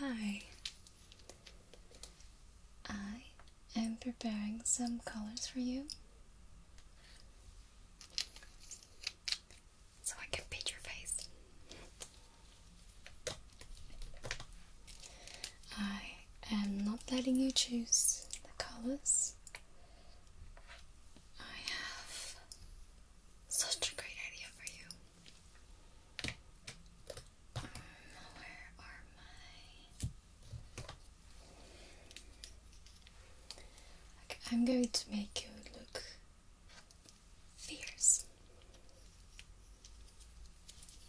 Hi. I am preparing some colors for you so I can paint your face. I am not letting you choose the colors. I have such a great idea for you. Um, where are my. I'm going to make you look Fears.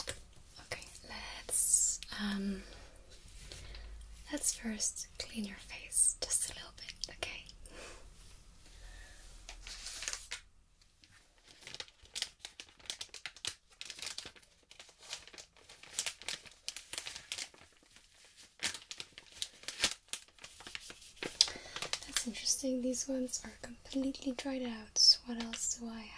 Okay, let's um let's first clean your face just a little bit, okay? That's interesting. These ones are completely dried out. What else do I have?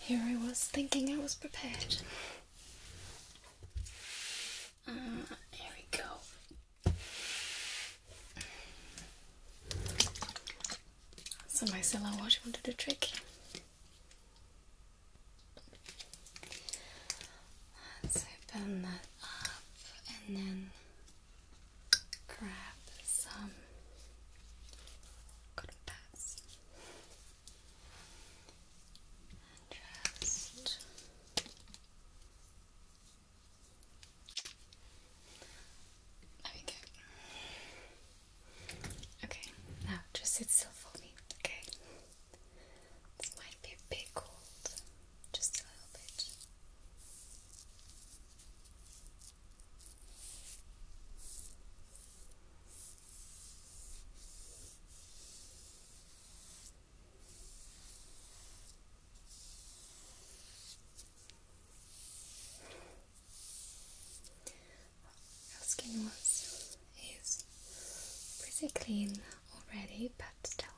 Here I was thinking I was prepared. Uh, here we go. So my you want to do trick. Let's open that up and then grab some cotton pads and just there we go. Okay, now just sit still for me, okay? This might be a bit cold, just a little bit. Our skin was is pretty clean already, but still,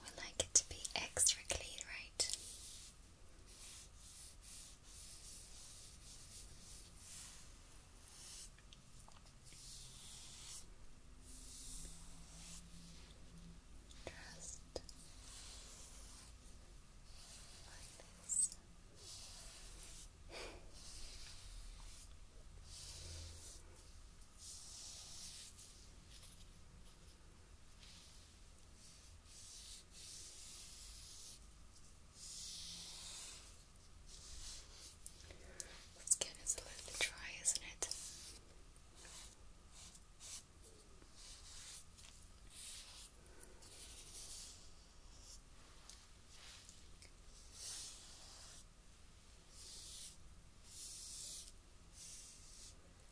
we like it to be extra clean, right? Just like this. The skin is a little dry, isn't it?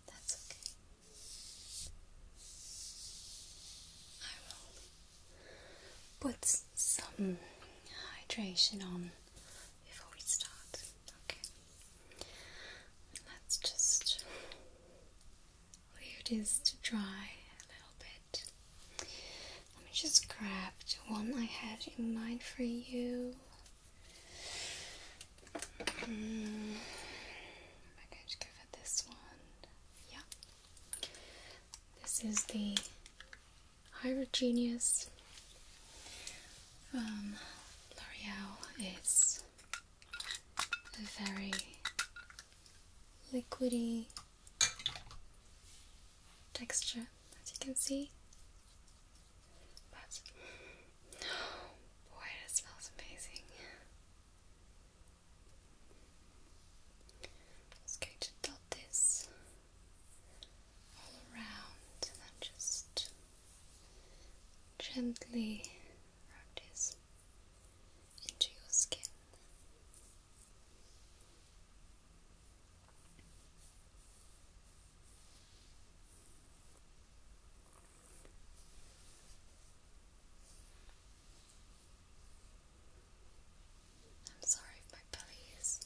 That's okay. I will put some hydration on before we start. Okay. Let's just leave this to dry a little bit. Let me just grab one I had in mind for you. Mm. i going to go for this one. Yeah. This is the Hyrogenius from L'Oreal. It's very liquidy texture, as you can see. But oh boy, that smells amazing. Just dot this all around and then just gently rub this into your skin. I'm sorry if my belly is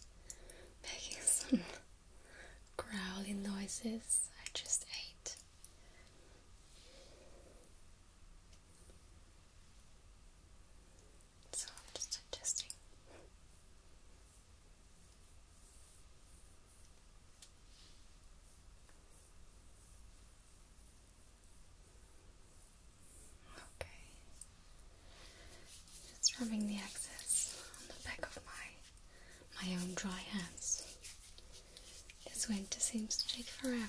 making some growling noises. I just ate. So I'm just adjusting. Okay. Just rubbing the excess on the back of my my own dry hands. This winter seems to take forever.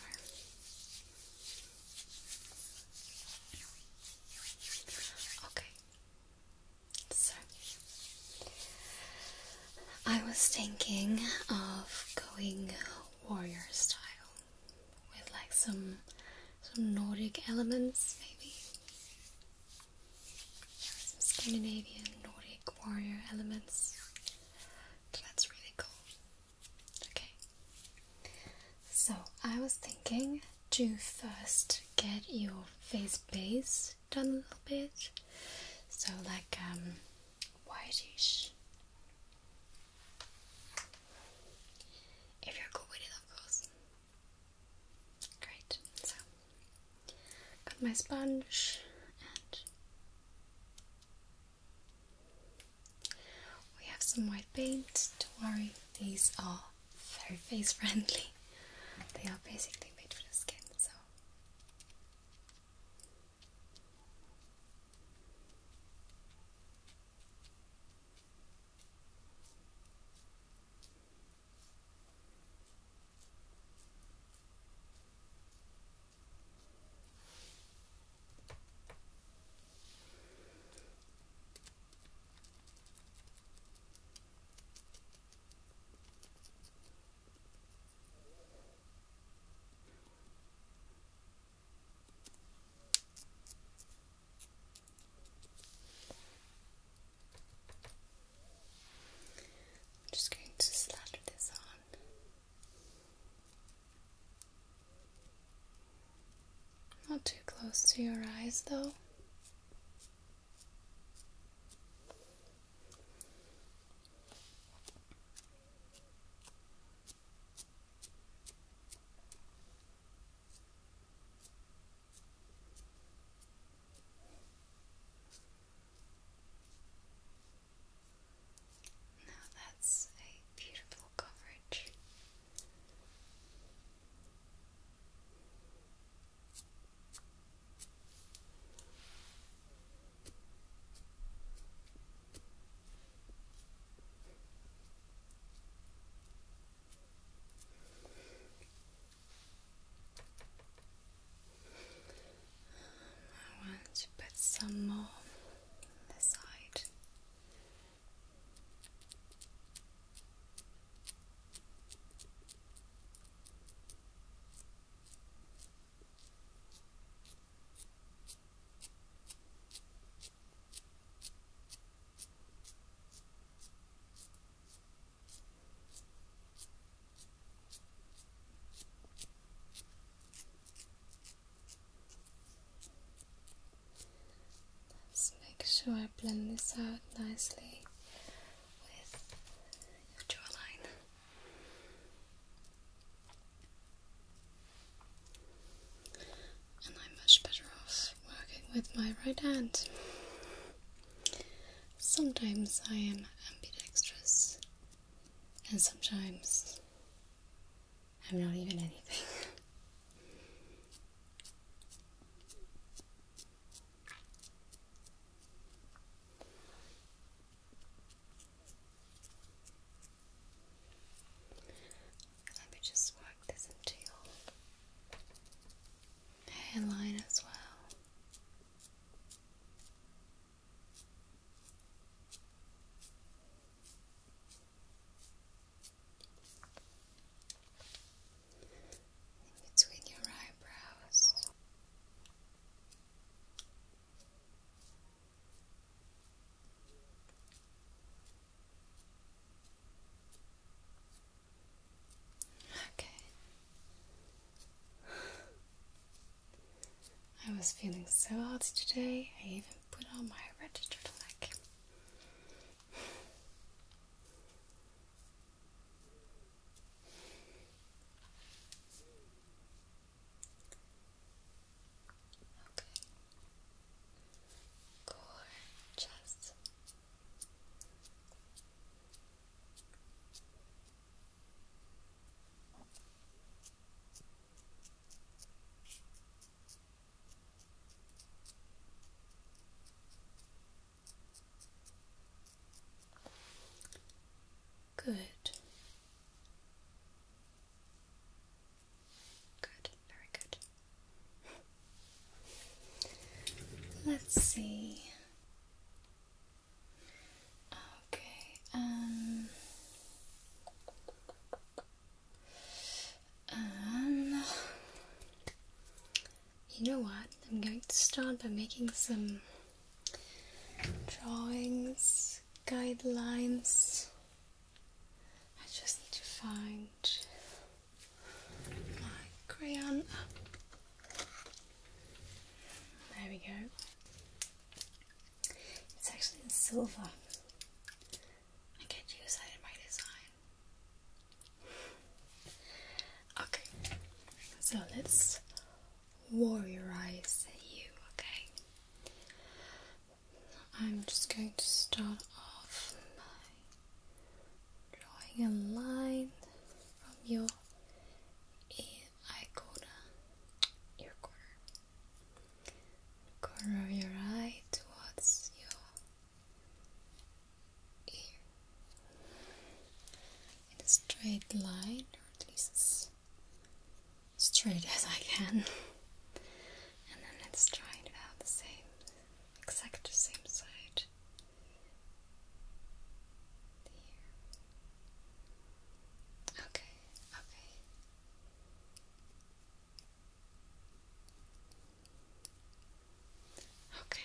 Okay. So I was thinking of going warrior style with like some some Nordic elements maybe. Some Scandinavian Nordic warrior elements. that's really cool. Okay. So I was thinking to first get your face base done a little bit. So like um whitish. If you're cool with it of course. Great. So got my sponge we have some white paint, don't worry, these are very face friendly. They are basically made for the skin, so. I'm just going to slather this on. Not too close to your eyes, though. Now that's a beautiful coverage. Um, I want to put some more the side. Let's make sure I blend this out nicely with your jawline. And I'm much better off working with my right hand. Sometimes I am ambidextrous, and sometimes I'm not even anything. Let me just work this into your hairline as well between your eyebrows. Okay. I was feeling so hot today, I even put on my red turtleneck. Okay. Gorgeous. Good. Good, very good. Let's see. Um, Okay, um, um you know what? I'm going to start by making some drawings, guidelines. I just need to find my crayon. There we go. It's actually in silver. I can't use that in my design. Okay, so let's warriorize you, okay? I'm just going to start off by drawing a line from your ear eye corner of your eye towards your ear in a straight line, or at least as straight as I can. and then let's try it out the same, exact same side. Okay, okay. Okay.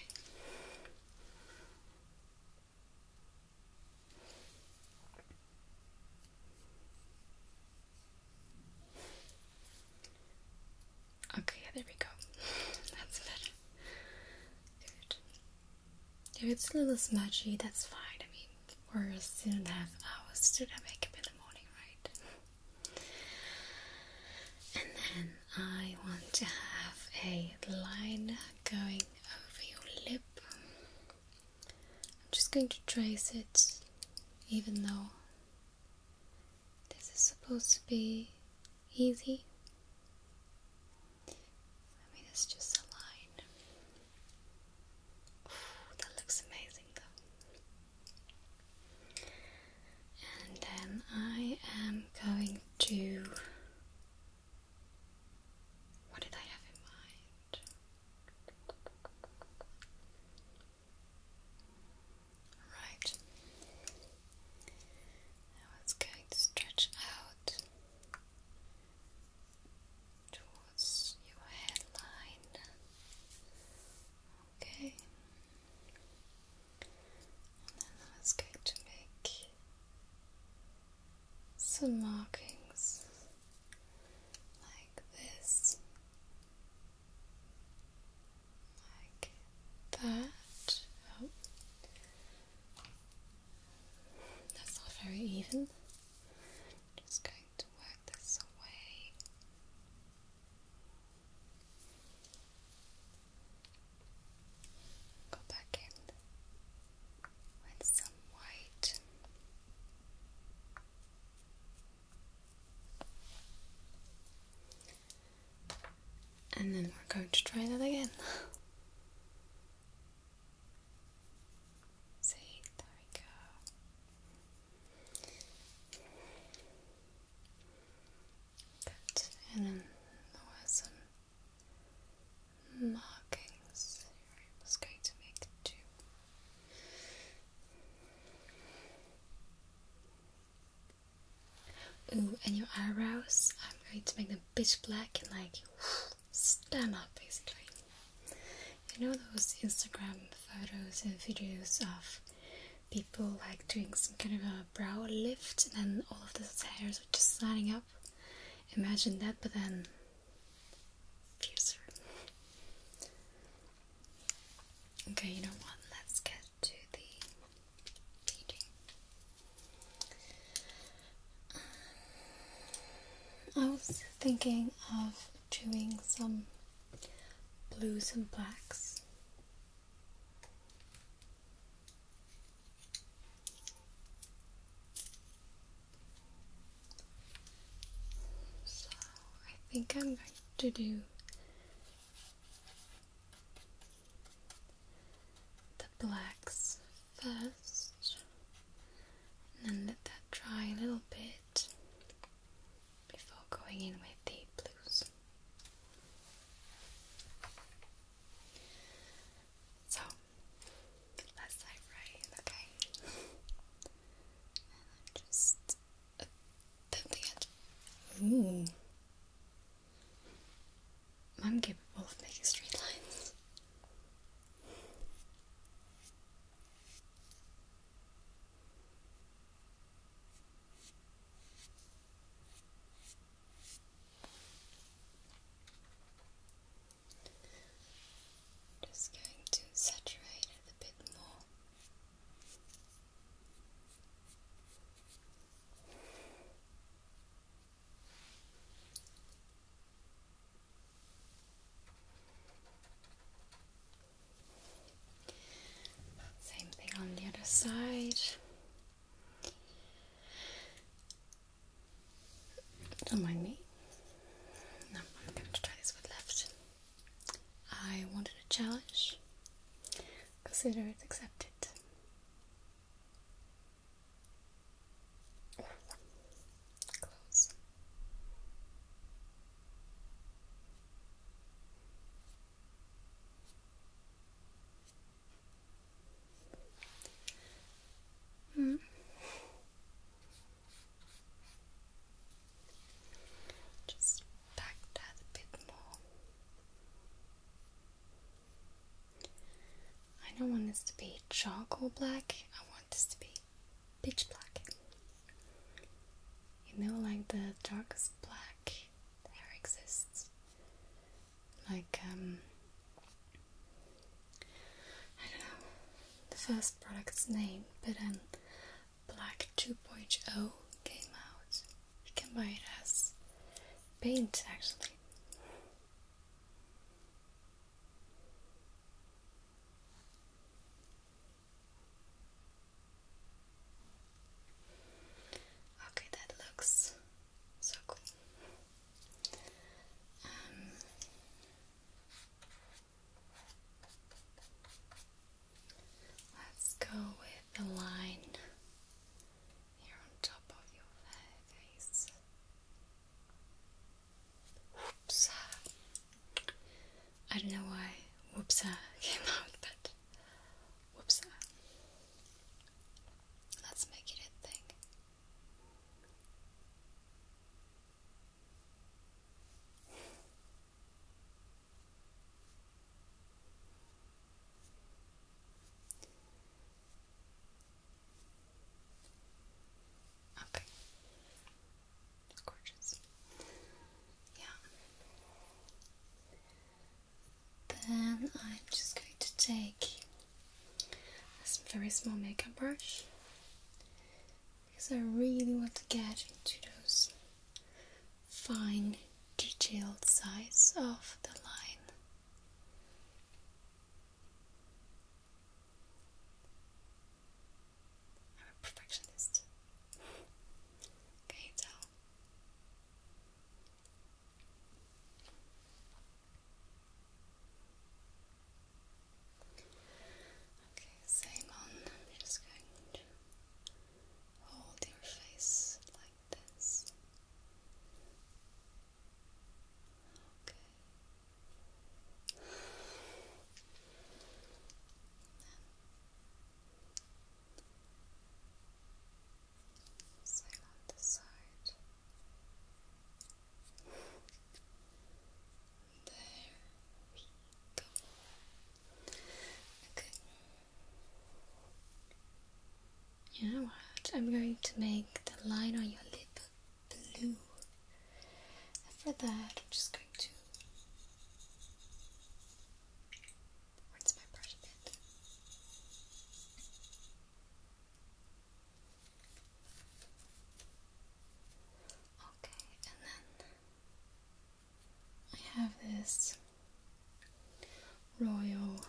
Okay, there we go. That's better. Good. If it's a little smudgy, that's fine. I mean, we're or still have hours to wake up in the morning, right? And then I want to have a line going over your lip. I'm just going to trace it, even though this is supposed to be easy. I mean, it's just a line that looks amazing though. And then I am going to. What did I have in mind? Right. Now it's going to stretch out towards your headline. Okay, and then I was going to make some markings like this, like that. Oh, that's not very even. Just go to work this away. Go back in with some white. And then we're going to try that again. See, there we go. and then oh, there were some markings I was going to make two. Ooh, and your eyebrows, I'm going to make them pitch black and like stand up basically. You know those Instagram photos and videos of people like doing some kind of a brow lift and then all of those hairs are just sliding up? Imagine that, but then Okay, you know what? Let's get to the beading. I was thinking of doing some blues and blacks. So I think I'm going to do the blacks first and then let that dry a little bit before going in with the blues. So let's dive right in, okay? just uh, pimping it. Ooh. I'm capable of making straight lines. Just going to saturate it a bit more. Same thing on the other side. Don't mind me. No, I'm going to try this with left. I wanted a challenge. Consider it accepted. Close. Hmm. Just back that a bit more. I don't want this to be charcoal black. I want this to be pitch black. You know, like the darkest black there exists. Like, um, I don't know the first product's name, but then Black 2.0 came out. You can buy it as paint actually. Okay, that looks so cool. Um, let's go with the line here on top of your face. Whoops. I don't know why whoops uh, came out, but whoops. Uh, let's make it a thing. Okay. gorgeous. Yeah. Then I'm just going to take a very small makeup brush because I really want to get into those fine detailed sides of the line. I'm a perfectionist. Can you tell? Okay, same on. I'm just going to hold your face like this. Okay. So on the side, there we go. Okay. You know what? I'm going to make the line on your lip blue. And for that, I'm just going to. Where's my brush Okay, and then I have this royal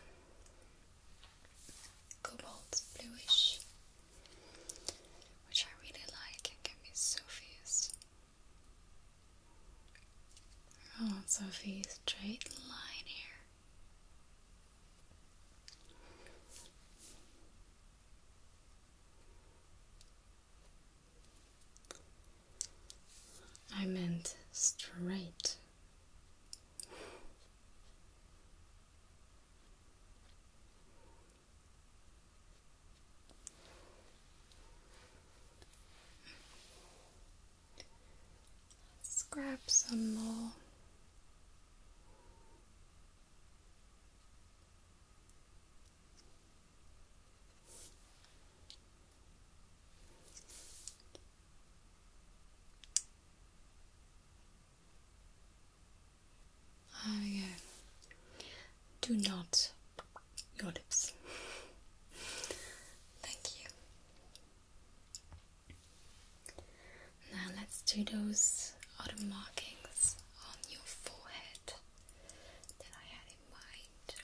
cobalt bluish which I really like and can be so fierce. Oh, Sophie, straight line here. I meant straight. Let's grab some more. Ah, yeah. Do not your lips. Thank you. Now let's do those other markings on your forehead that I had in mind.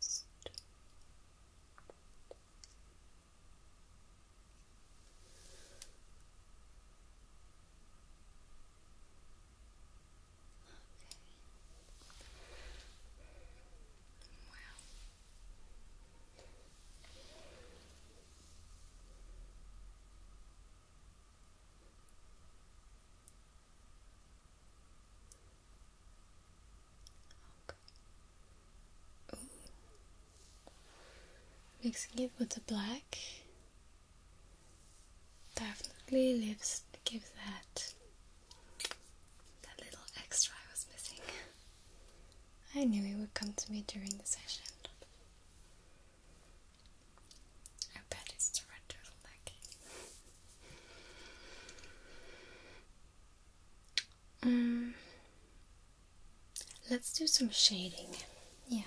Just Okay. Wow. Mixing it with the black definitely gives that that little extra I was missing. I knew it would come to me during the session. I bet it's the red turtle neck. Mm. Let's do some shading. Yeah.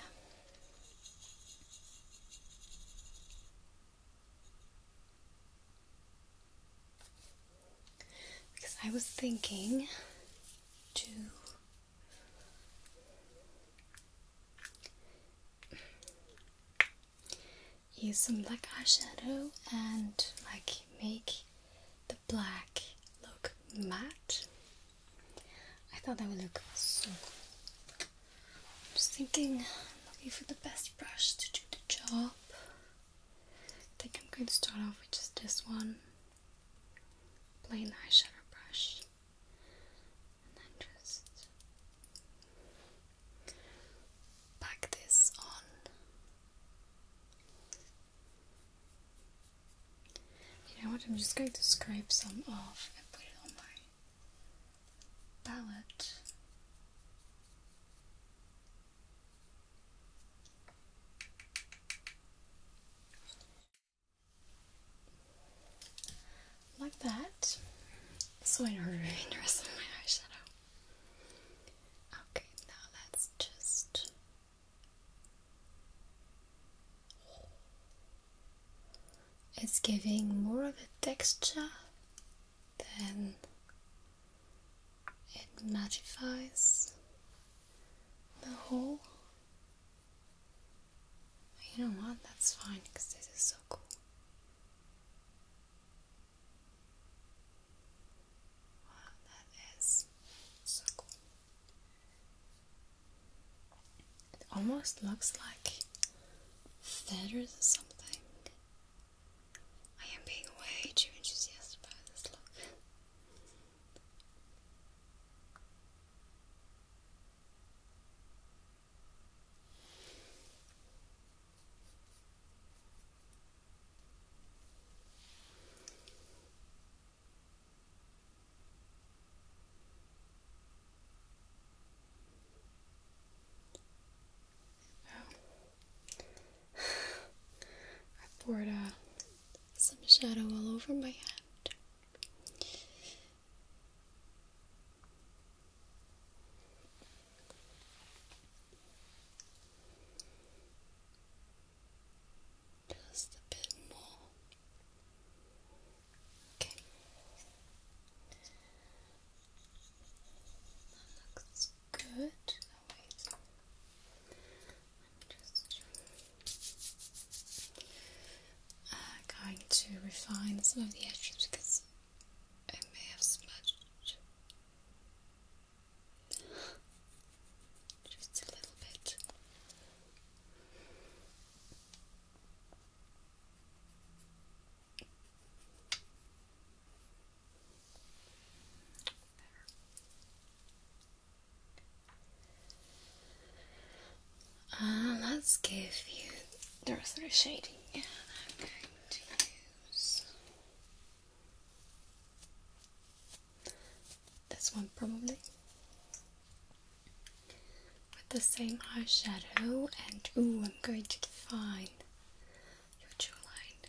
Because I was thinking to Use some black eyeshadow and like make the black look matte. I thought that would look so cool. I'm just thinking, looking for the best brush to do the job. I think I'm going to start off with just this one plain eyeshadow brush and then just pack this on. You know what? I'm just going to scrape some off and put it on my palette. Like that. So in order of interest my eyeshadow. Okay, now let's just it's giving more of a texture than it mattifies the whole you know what? That's fine because this is so cool. Wow, that is so cool. It almost looks like feathers or something. I am being way too enthusiastic about this look. I poured uh, some shadow all over my head. Just a bit more. Okay. That looks good. wait just uh, going to refine some of the edges because it may have smudged just a little bit. There. Uh, let's give you the rest of the shading. Yeah, I'm going to use this one probably with the same eyeshadow. And oh, I'm going to define your jawline.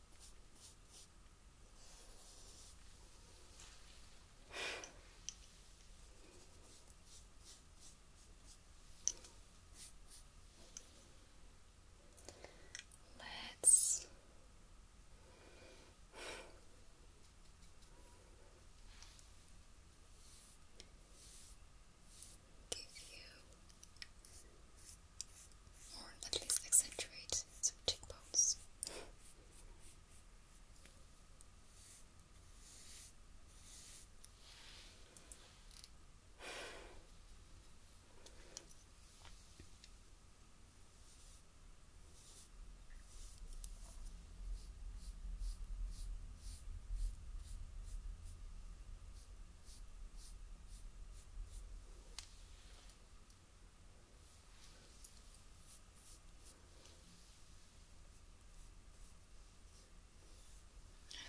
Let's give you or at least accentuate some tick cheekbones.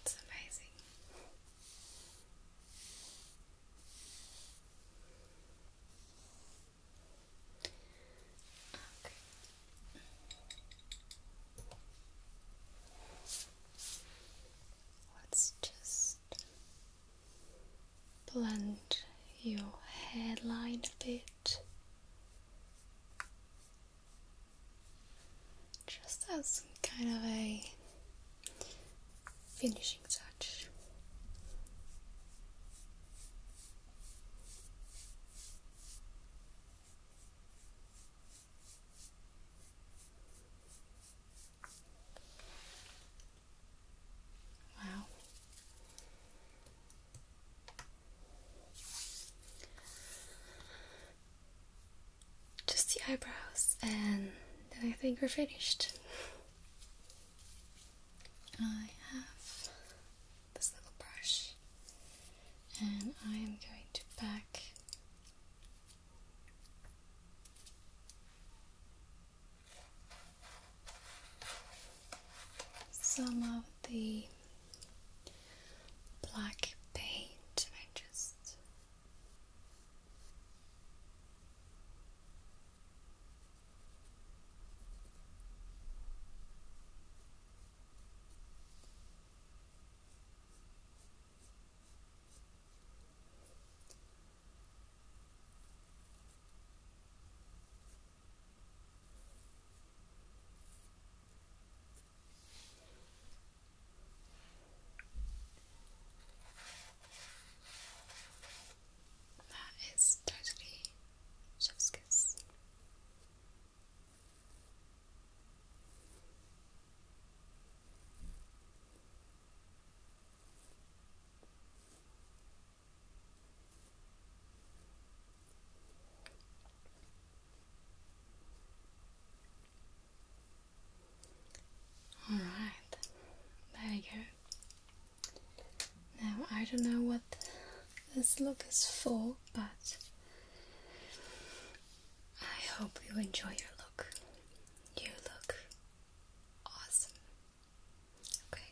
That's amazing. Okay. Let's just blend your hairline a bit. Just as kind of a finishing touch. Wow. Just the eyebrows, and then I think we're finished. I have this little brush, and I am going to back some of the black paint I just that is totally chef's kiss. All right, there you go. Now, I don't know what this look is for, but I hope you enjoy your look. You look Awesome. Okay.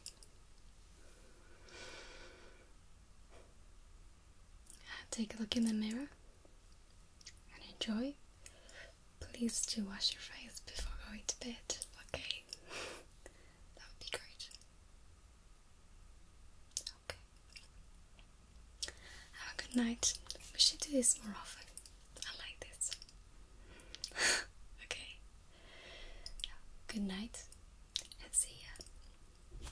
Take a look in the mirror and enjoy. Please do wash your face before going to bed, okay? that would be great. Okay. Have a good night. We should do this more often. I like this. okay. good night and see ya.